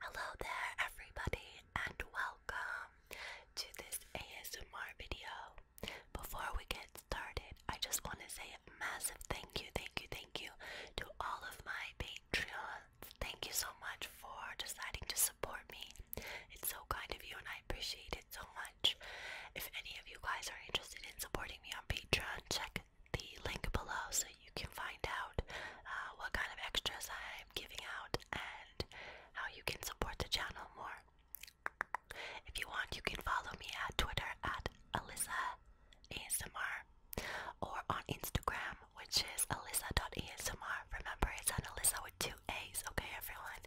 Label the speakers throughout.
Speaker 1: Hello there, everybody, and welcome to this ASMR video before we get started, I just want to say a massive thank you, thank you, thank you to all of my Patreons. Thank you so much for deciding to support me. It's so kind of you and I appreciate it so much. If any of you guys are interested in supporting me on Patreon, check the link below so you can find out uh, what kind of extras I'm giving out and how you can support the channel more. If you want, you can follow me at Twitter at Alyssa ASMR or on Instagram, which is Alyssa.ASMR. Remember, it's an Alyssa with two A's, okay, everyone?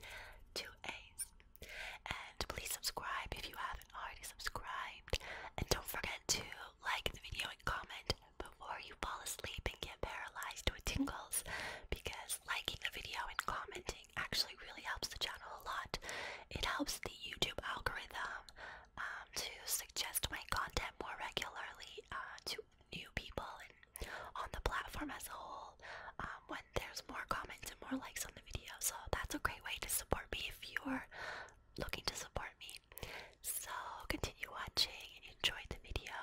Speaker 1: Two A's. And please subscribe if you haven't already subscribed. And don't forget to like the video and comment before you fall asleep and get paralyzed with tingles because liking a video and commenting actually really helps the channel a lot. It helps the YouTube algorithm um, to suggest my content more regularly uh, to new people and on the platform as a whole um, when there's more comments and more likes on the video. So that's a great way to support me if you're looking to support me. So continue watching and enjoy the video.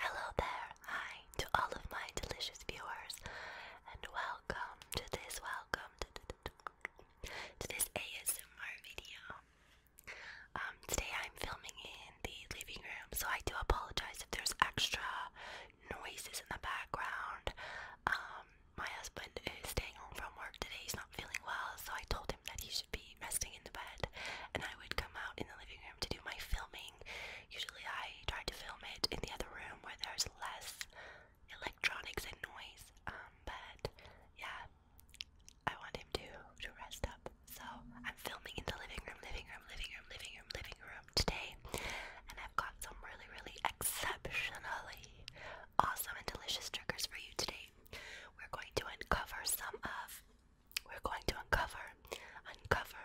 Speaker 1: Hello there, hi to all of my delicious viewers, and welcome to this, welcome to, this ASMR video. Um, today I'm filming in the living room, so I do apologize if there's extra noises in the background. Um, my husband is staying home from work today, he's not feeling well, so I told him that he should be resting in the bed, and I would come out in the living room to do my filming Usually I try to film it in the other room where there's less electronics and noise. Um, but yeah, I want him to to rest up. So I'm filming in the living room, living room, living room, living room, living room today, and I've got some really, really exceptionally awesome and delicious triggers for you today. We're going to uncover some of we're going to uncover, uncover,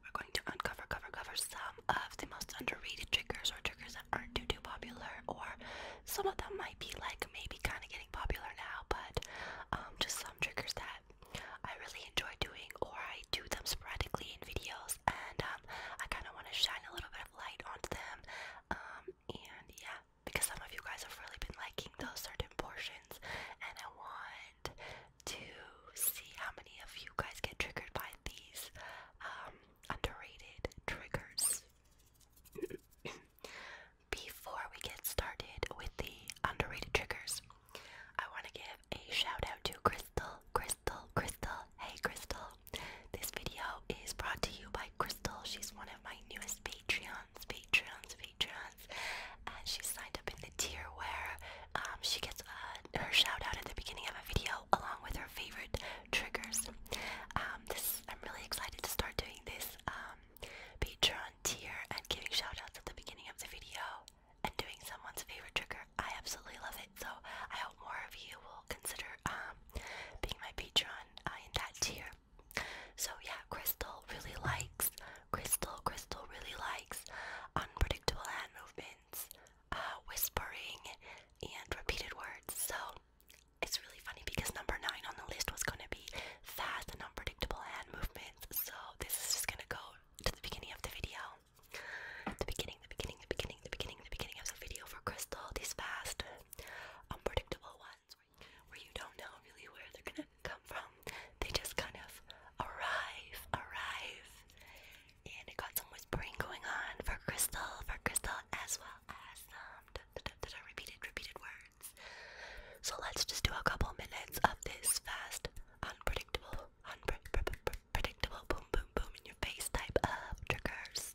Speaker 1: we're going to uncover, cover, cover some of the most underrated triggers or triggers that aren't too, too popular, or some of them might be like maybe kind of getting popular now, but um, just some triggers that I really enjoy doing, or I do them sporadically in videos, and um, I kind of want to shine a little bit of light onto them. Um, and yeah, because some of you guys have really been liking those certain portions, and I want to see how many of you guys get triggered by these um, underrated triggers. Before we get started with the underrated triggers, I want to give a shout out to Crystal, Crystal, Crystal. Hey, Crystal. This video is brought to you by Crystal. She's one of my newest Patreons, Patreons, patrons, and she signed up in the tier where um, she gets uh, her shoutout at the beginning of a video along with her favorite triggers. Um, I'm really excited to start doing this um, Patreon tier and giving shoutouts at the beginning of the video and doing someone's favorite trigger. I absolutely love it. So I hope more of you will consider being my Patreon uh, in that tier. So yeah, Crystal really likes. Crystal, Crystal really likes. Umbra predictable hand movements, uh, whispering, and repeated words. So it's really funny because number nine on the list was going to be fast and unpredictable hand movements. So this is just going to go to the beginning of the video. The beginning, the beginning, the beginning, the beginning, the beginning of the video for Crystal. These fast, unpredictable ones where you don't know really where they're gonna come from. They just kind of arrive, arrive. And I got some whispering going on for Crystal, for Crystal, as well as um, repeated, repeated words. So let's just do a couple minutes of this fast, unpredictable, unpredictable, boom, boom, boom in your face type of triggers.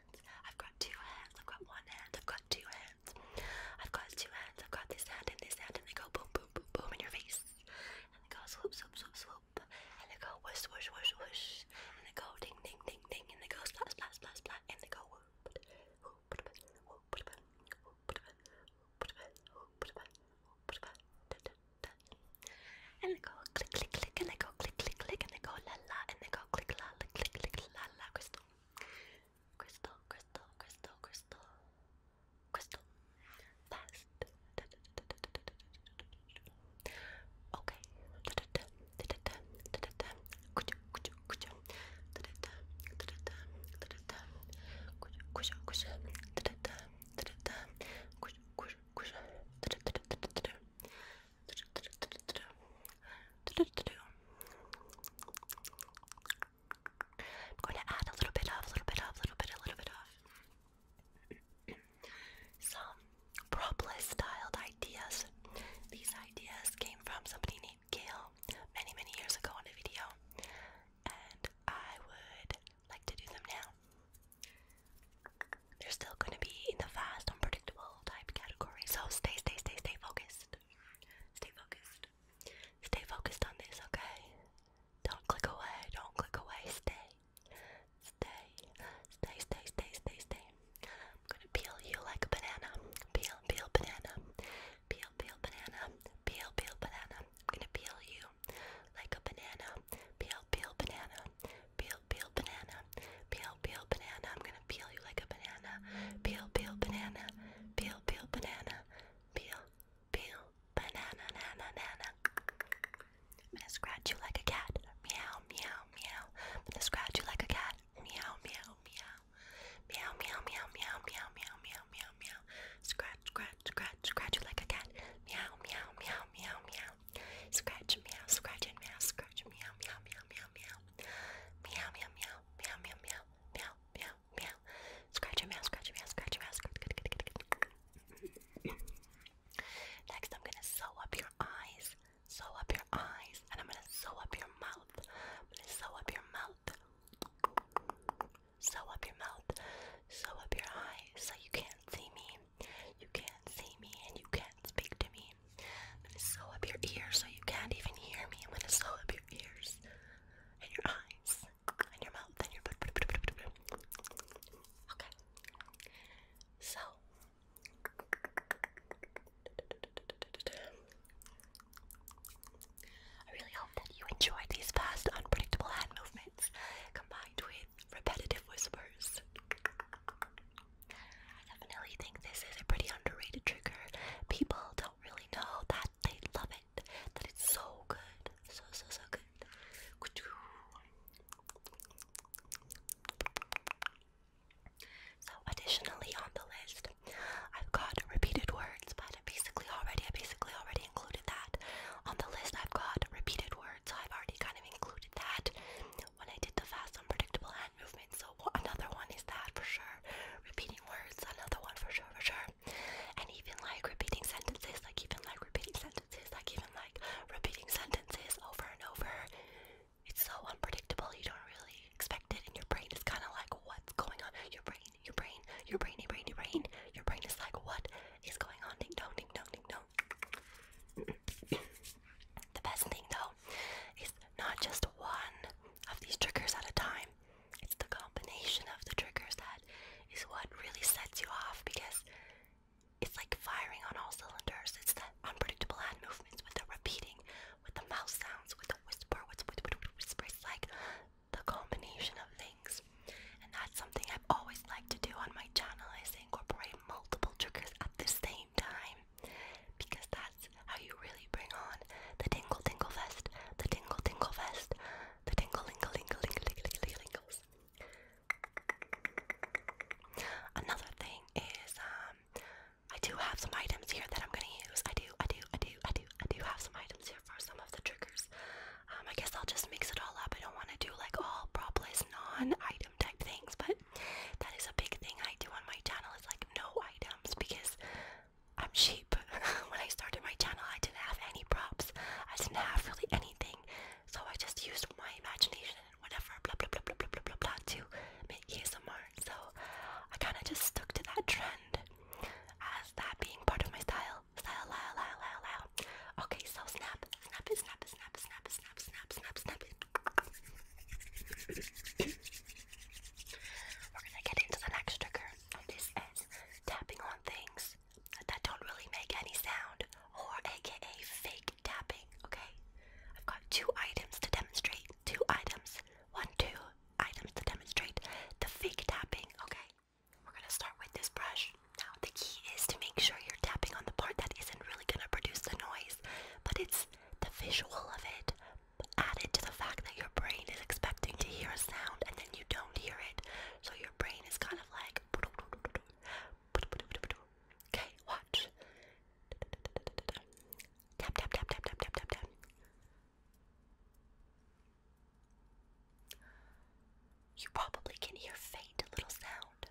Speaker 1: hands. I've got two hands. I've got one hand. I've got two hands. I've got two hands. I've got this hand and this hand, and they go boom, boom, boom, boom in your face. And they go swoop, swoop, swoop, swoop. And they go whoosh, whoosh, whoosh, whoosh. And they go ding, ding, ding, ding. And they go splat, splat, splat, splat. And they go whoop, whoop, whoop, whoop, whoop, whoop, and they go click click click and they go click click click and they go la la and they go click la click click click la la crystal crystal crystal crystal crystal crystal fast okay I'm going to add a little bit of, a little bit of, a little bit, a little bit of some propolis styled ideas. These ideas came from somebody named Gail many, many years ago on a video, and I would like to do them now. They're still going to be in the fast, unpredictable all type category. So stay, stay, stay, stay focused. Stay focused. Stay focused on this, okay? Don't click away. Don't click away. Stay. Stay. Stay, stay, stay, stay, stay. I'm gonna peel you like a banana. Peel, peel, banana. Peel, peel, banana. Peel, peel, banana. I'm gonna peel you like a banana. Peel, peel, banana. Peel, peel, peel banana. Peel, peel banana. I'm gonna peel you like a banana. Peel, peel banana. Peel, peel banana. Peel, peel banana, nana, nana. I'm gonna scratch you like a cat. Meow, meow, meow. I'm gonna scratch you like a cat. Meow, meow, meow. Meow, meow, meow, meow, meow, meow, meow, meow, meow. Scratch, scratch, scratch, scratch you like a cat. Meow, meow, meow, meow, meow. Scratch, meow, scratch and meow, scratch, meow, meow, meow, meow, meow. Meow, meow, meow, meow, meow, meow, meow, meow, meow. Scratch your meow, scratch your meow, scratch your meow, Next, I'm gonna sew up your eyes, sew up your eyes, and I'm gonna sew up your mouth. sew up your mouth. Sew up your mouth, sew up your eyes so you can't see me. You can't see me and you can't speak to me. I'm gonna sew up your ears so you can't even hear me. I'm gonna sew up your ears and your eyes and your mouth and your okay. So I really hope that you enjoyed these fast, unpredictable hand movements combined with repetitive whispers. I definitely think this is a pretty underrated trigger. People don't really know that they love it, that it's so good. So, so, so good. So, additionally on the list, I've got repeated words, but I basically already, I basically already included that. On the list, I've got repeated words, I've already kind of included that when I did the fast unpredictable hand movement. So another one is that for sure. Repeating words, another one for sure, for sure. And even like repeating sentences, like even like repeating sentences, like even like repeating sentences over and over. It's so unpredictable. You don't really expect it, and your brain is kind of like, what's going on? Your brain, your brain, your brain, your brain, your brain, your brain is like, what is going on? Ding dong, ding dong, ding dong. The best thing though is not just one of these triggers at a time, it's the combination of the triggers that is what really sets you off because it's like firing on all cylinders. It's the unpredictable hand movements with the repeating, with the mouth sounds, with the whisper, with the whisper. It's like the combination of things. And that's something I've always liked to do on my channel is incorporate multiple triggers at the same time because that's how you really bring on the tingle tingle fest, the tingle tingle fest, the tingle lingle lingle lingle lingle lingle lingles. Another thing is um I do have some items here that I'm gonna use. I do, I do, I do, I do, I do have some items here for some of the triggers. Um, I guess I'll just mix it all up. I don't want to do like all propless non-item type things, but that is a big thing I do on my channel. It's like no item items because I'm cheap. when I started my channel, I didn't have any props. I didn't have really anything. So I just used my imagination and whatever, blah, blah, blah, blah, blah, blah, blah, blah, to make ASMR. So I kind of just stuck to that trend as that being part of my style. Style, lyle, lyle, lyle, lyle. Okay, so snap, snap it, snap it, snap it, snap it, snap it, snap it, snap it, snap it. We're gonna get into the next trigger, this is tapping on things that don't really make any sound, or aka fake tapping, okay? I've got two items to demonstrate. Two items. One, two items to demonstrate the fake tapping, okay? We're gonna start with this brush. Now, the key is to make sure you're tapping on the part that isn't really gonna produce the noise, but it's the visual of it added to the fact that your brain is expecting to hear a sound and then you don't hear it. So your brain is kind of like. Okay, watch. Tap, tap, tap, tap, tap, tap, tap, tap. You probably can hear faint little sound.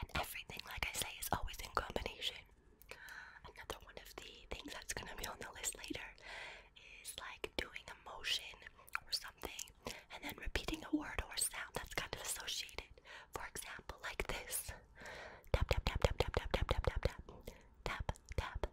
Speaker 1: And everything, like I say, is always in combination. Another one of the things that's going to be on the list later is like doing a motion or something and then repeating a word or sound that's kind of associated. For example, like this tap, tap, tap, tap, tap, tap, tap, tap, tap, tap, tap, tap,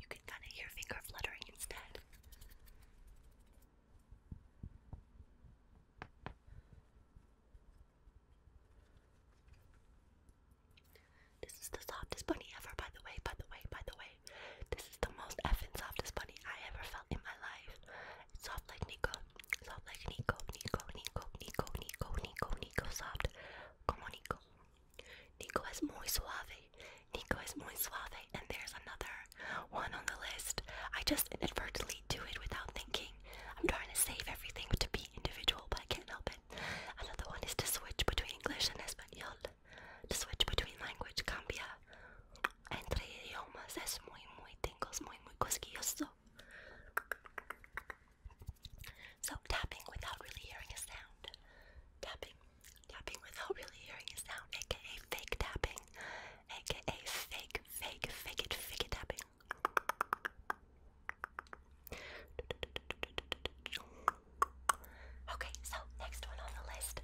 Speaker 1: You can kind of hear finger fluttering instead. This is the softest bunny ever, by the way, by the way, by the way. This is the most effing softest bunny I ever felt in my life. It's soft like Nico. Sob like Nico, Nico, Nico, Nico, Nico, Nico, Nico, Come on, Nico. Nico is muy suave. Nico is muy suave. And there's another one on the list. I just inadvertently do it without thinking. I'm trying to save everything to be individual, but I can't help it. Another one is to switch between English and Espanol. To switch between language cambia. Entre idiomas es muy, muy es muy, muy cosquilloso. So tapping without really hearing a sound. Tapping. Tapping without really hearing a sound. AKA fake tapping. AKA fake, fake, fake it, fake it tapping. Okay, so next one on the list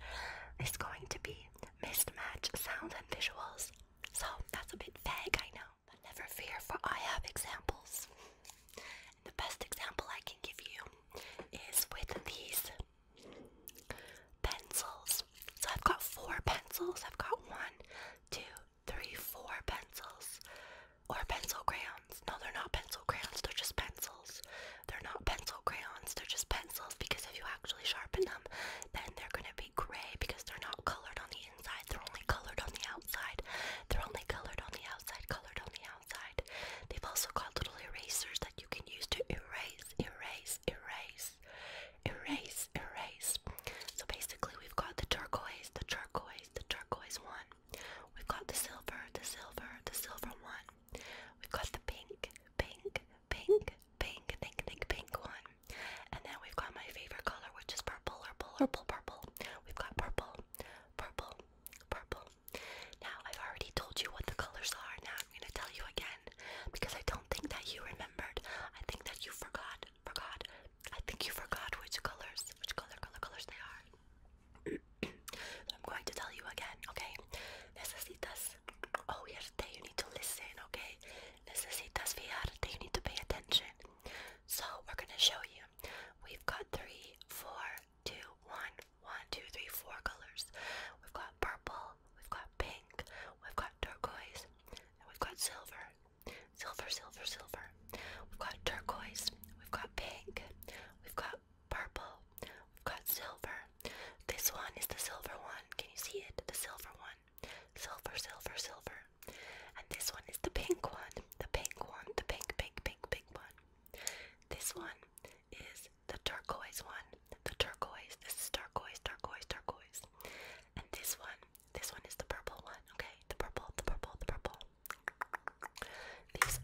Speaker 1: is going to be mismatch sounds and visuals. So that's a bit vague, I know. But never fear, for I have examples. the best example I can give you is with these pencils. So I've got four pencils. I've got one, two, three, four pencils. Or pencil crayons. No, they're not pencil crayons, they're just pencils. They're not pencil crayons, they're just pencils because if you actually sharpen them, then they're gonna be gray because they're not colored on the they're only colored on the outside. They're only colored on the outside, colored on the outside. They've also got little erasers that you can use to erase, erase, erase, erase, erase. So basically, we've got the turquoise, the turquoise, the turquoise one. We've got the silver, the silver, the silver one. We've got the pink, pink, pink, pink, pink, pink, pink one. And then we've got my favorite color, which is purple, purple, purple, purple. We've got purple, purple, purple. Now, I've already told you what the colors are. Now, I'm going to tell you again because I don't think that you remembered. I think that you forgot, forgot. I think you forgot which colors, which color, color, colors they are. I'm going to tell you again, okay? Necesitas. Oh, you need to listen, okay? Necesitas fijarte. You need to pay attention. So we're gonna show you. We've got three, four, two, one, one, two, three, four colors. We've got purple, we've got pink, we've got turquoise, we've got silver. Silver, silver, silver. We've got turquoise, we've got pink, we've got purple, we've got silver. This one is the silver one. Can you see it? The silver one silver, silver, silver. And this one is the pink one, the pink one, the pink, pink, pink, pink one. This one is the turquoise one, the turquoise. This is turquoise, turquoise, turquoise. And this one, this one is the purple one. Okay, the purple, the purple, the purple. These,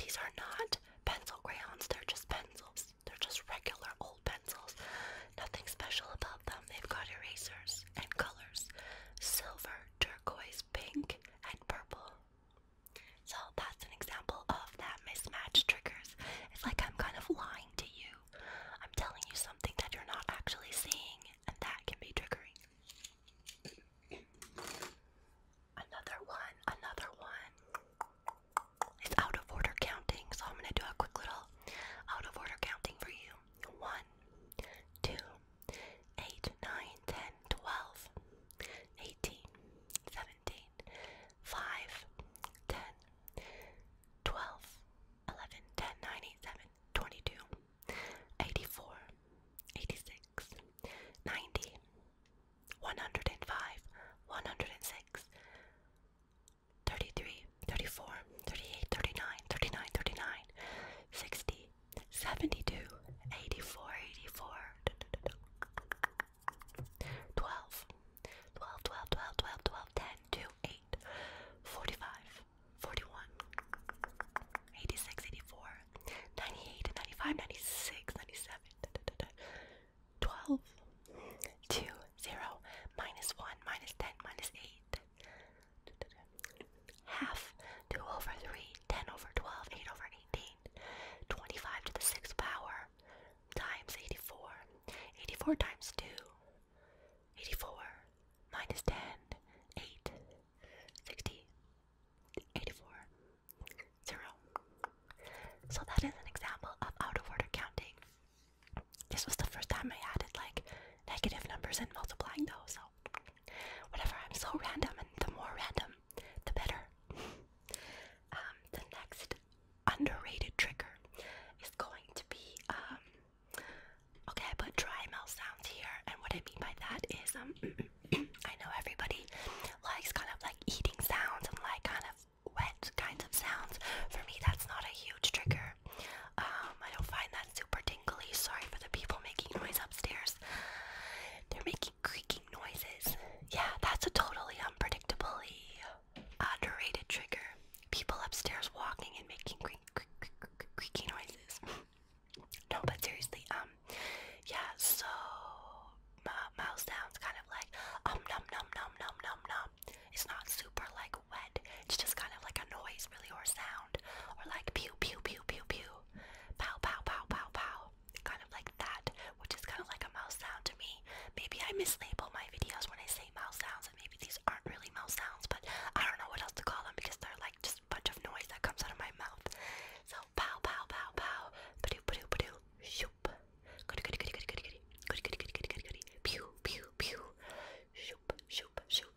Speaker 1: these are not pencil crayons. They're just pencils. They're just regular old pencils. Nothing special about them. They've got erasers and colors. Silver, turquoise pink, and purple. So that's an example of that mismatch triggers. It's like I'm kind of lying to you. I'm telling you something that you're not actually seeing, and that can be triggering. Another one, another one. It's out of order counting, so I'm going to do a quick little out of order counting for you. One, two, 8, 9, 10, 12, 18, 17, 5, 10, 12, 11, 10, 9, 8, 84, 86, 90, 105, 106, 33, 34, 38, 39, 39, 60, 72, 84, 84, 12, 12, 12, 12, 12, 12, 10, 2, 8, 45, 41, 86, 84, 98, 95, 96, 97, 12, 2, 0, minus 1, minus 10, minus 8, half, 2 over three, ten over twelve, eight over eighteen, twenty-five to the 6th power, times 84. 84 times 2, 84, minus 10, So that is an example of out of order counting. This was the first time I added like negative numbers and multiplying those, so Whatever, I'm so random, and the more random, the better. Um, the next underrated trigger is going to be um, okay. I put dry mouth sounds here, and what I mean by that is um, I know everybody likes kind of like eating sounds and like kind of wet kinds of sounds. For me, that's not a huge trigger. Um, I don't find that super tingly. Sorry for the people making noise upstairs. They're making creaking noises. Yeah, that's a totally unpredictably underrated trigger. People upstairs walking and making creak, creak, creak, creak, creaky noises. no, but seriously, um, yeah, so mouth sounds kind of like um num num num num num num. It's not super like wet. It's just kind of like a noise, really, or sound, or like pew pew pew pew pew, pow, pow, pow, pow, pow, kind of like that, which is kind of like a mouse sound to me. Maybe I mislabel my videos when I say mouse sounds, and maybe these aren't really mouse sounds, but I don't know what else to call them because they're like just a bunch of noise that comes out of my mouth. So pow, pow, pow, pow, padoo, padoo, padoo, shoop, goody, goody, goody, goody, goody, goody, goody, goody, goody, goody, goody, pew, pew, pew, shoop, shoop, shoop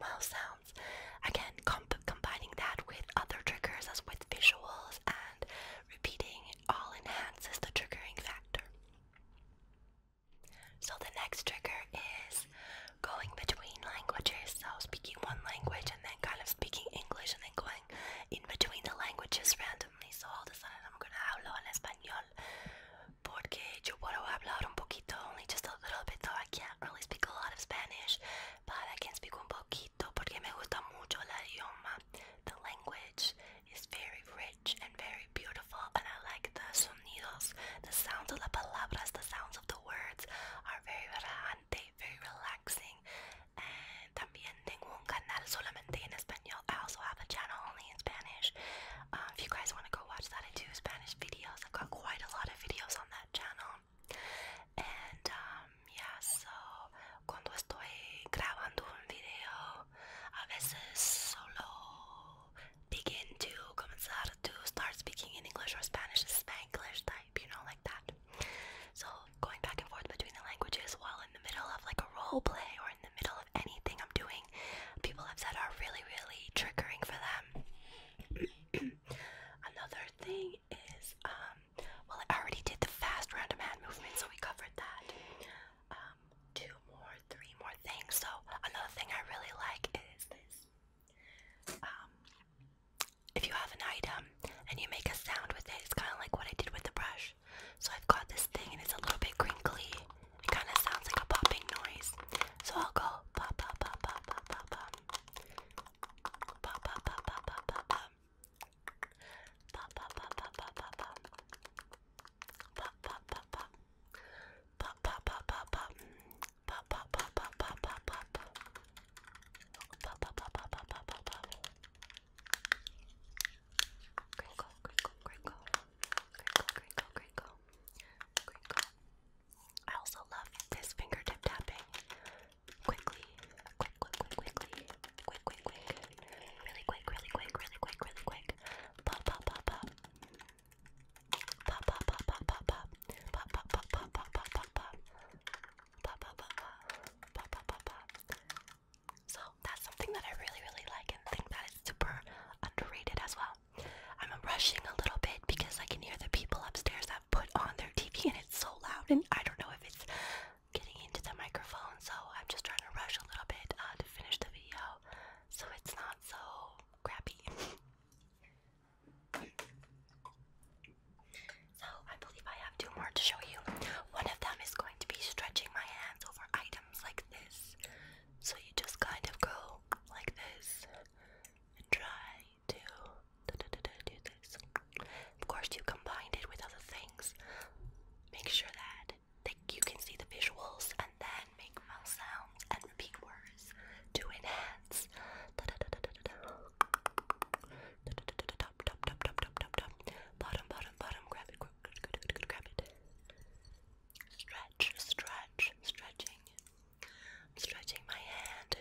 Speaker 1: mouth sounds. Again, combining that with other triggers as with visuals and repeating all enhances the triggering factor. So the next trigger is going between languages, so speaking one language and then kind of speaking English and then going in between the languages randomly. So all of a sudden I'm gonna hablo en español porque yo puedo hablar un poquito, only just a little bit though. Aquí not really speak a lot of Spanish, but I can speak un poquito porque me gusta mucho la idioma. The language is very rich and very beautiful, and I like the sonidos, the sounds of the palabras, the sounds of the words are very relajante, very relaxing. And también tengo un canal solamente en español. I also have a channel only in Spanish. Um, if you guys want to go watch that, I do Spanish videos. I've got quite a lot of videos on that channel. And um, yeah, so cuando estoy grabando un video, a veces solo begin to comenzar to start speaking in English or Spanish, Spanglish type, you know, like that. So going back and forth between the languages while in the middle of like a role play or in the middle of anything I'm doing, people have said are really, really triggering for them. Another thing is, um, well, I already did the fast random hand movement, so we covered that. Um, two more, three more things. So another thing I really like is this. Um, if you have an item and you make a sound with it, it's kind of like what I did with the brush. So I've got this thing and it's a little bit crinkly. It kind of sounds like a popping noise. So I'll go pop, pop, pop, pop, pop, pop. Pop, pop, pop, pop, pop, pop, pop. Pop, pop, pop, pop, pop, pop, pop. Pop, pop, pop, pop. Pop, pop, pop, pop, pop. Pop, pop, pop, pop, pop, pop, pop. Pop, pop, pop, pop, pop, pop, pop, pop. Crinkle, crinkle, crinkle. Crinkle, crinkle, crinkle. Crinkle. I also love this fingertip tapping. Quickly, quick, quick, quick, quickly, quick, quick, really quick, really quick, really quick, really quick. Pop, pop, pop, pop. Pop, pop, pop, pop, pop, pop. Pop, pop, pop, pop, pop, pop, pop, pop. Pop, pop, pop, pop, pop, pop, pop. So that's something that I really, really like and think that is super underrated as well. I'm rushing a little bit because I can hear the people upstairs put on their TV and it's so loud and I don't know if it's getting into the microphone so I'm just trying to rush a little bit uh, to finish the video so it's not so crappy. so I believe I have two more to show you. One of them is going to be stretching my hands over items like this. So you just kind of go like this and try to do, this. Of course, you combined it with other things. Make sure that you can see the visuals and then make mouth sounds and repeat words to enhance. top, top, top, top, top, top, top. Bottom, bottom, bottom. grab it, grab it, grab it. Stretch, stretch, stretching stretching my hand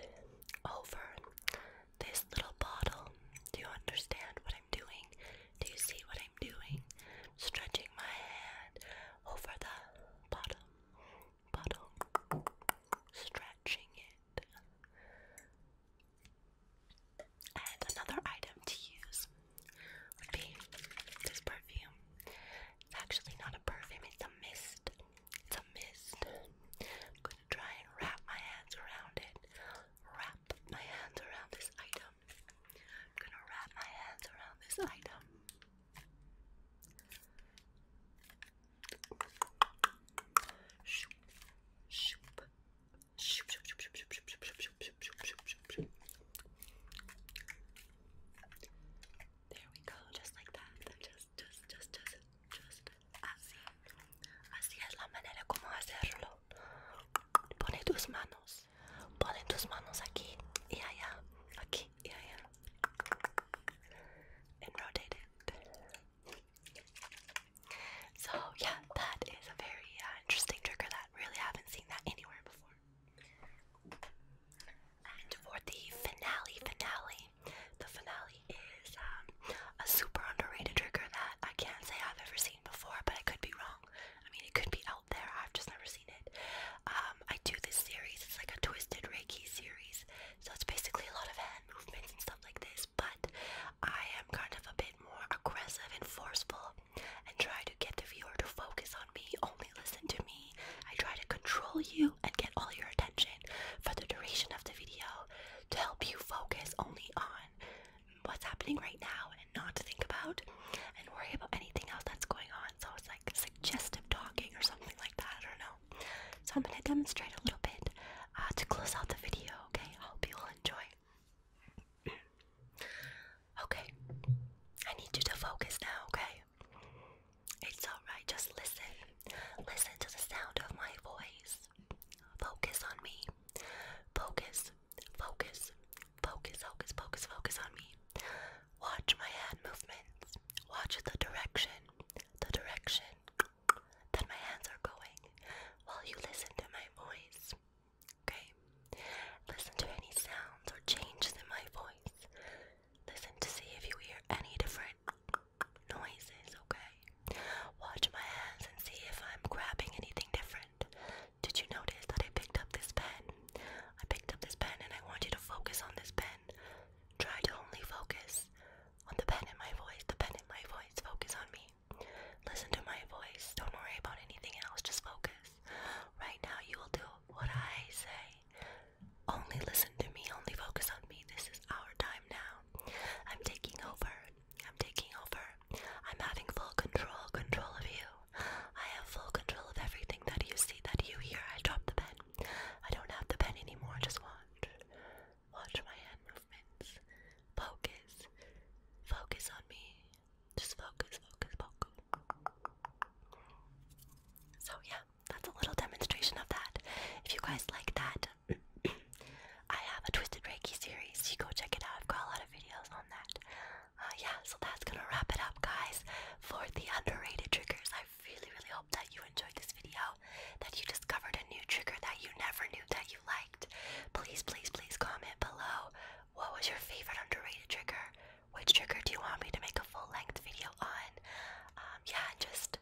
Speaker 1: over this little bottle. Do you understand what I'm doing? Do you see what I'm doing? Stretching my hand over the bottle. Bottle. Stretching it. And another item to use would be this perfume. It's actually not a perfume, it's a mist. It's a mist. I'm going to try and wrap my hands around it. Wrap my hands around this item. I'm going to wrap my hands around this item. Shoop, shoop, shoop, shoop, shoop, shoop, shoop, shoop, shoop, shoop, shoop, shoop, shoop. There we go, just like that. Just, just, just, just, just así. Así es la manera como hacerlo. Pone tus manos. Pone tus manos aquí y allá. Aquí y allá. So yeah, that is a very uh, interesting trigger that really haven't seen that anywhere before. for the finale, finale, the finale is um, a super underrated trigger that I can't say I've ever seen before, but I could be wrong. I mean, it could be out there, I've just never seen it. Um, I do this series, it's like a twisted Reiki series, so it's basically a lot of hand movements and stuff like this, but I am kind of a bit more aggressive and forceful and try to get the viewer to focus on me, only listen to me. I try to control you and get all your attention for the duration of the video to help you focus only on what's happening right now and not think about and worry about anything else that's going on. So it's like suggestive talking or something like that. I don't know. So I'm going to demonstrate a little bit uh, to close out the video, okay? I hope you will enjoy. okay. I need you to focus now, okay? It's alright, just listen. Listen to the sound of my voice. Focus on me. Focus, focus, focus, focus, focus, focus on me. Watch my hand movements. Watch the direction, the direction that my hands are going while you listen to my voice. Okay? Listen to any sounds or changes in my voice. Listen to see if you hear any different noises, okay? Watch my hands and see if I'm grabbing anything different. Did you notice that I picked up this pen? I picked up this pen and I want you to focus on this pen. Try to only focus on the pen in my voice, the pen in my voice. Focus on me. Listen to my voice. Don't worry about anything else. Just focus. Right now, you will do what I say. Only listen to me, only focus on me. This is our time now. I'm taking over. I'm taking over. I'm having full control, control of you. I have full control of everything that you see, that you hear. I dropped the pen. I don't have the pen anymore. Just watch. Watch my hand movements. Focus. Focus on me. Just focus, focus, focus. So, yeah, that's a little demonstration of that. If you guys like that, I have a Twisted Reiki series. You go check it out. I've got a lot of videos on that. Uh, yeah, so that's gonna wrap it up, guys, for the underrated triggers. I really, really hope that you enjoyed this video, that you discovered a new trigger that you never knew that you liked. Please, please, please comment below what was your favorite underrated trigger. Which trigger do you want me to make a full length video on? Um, yeah, just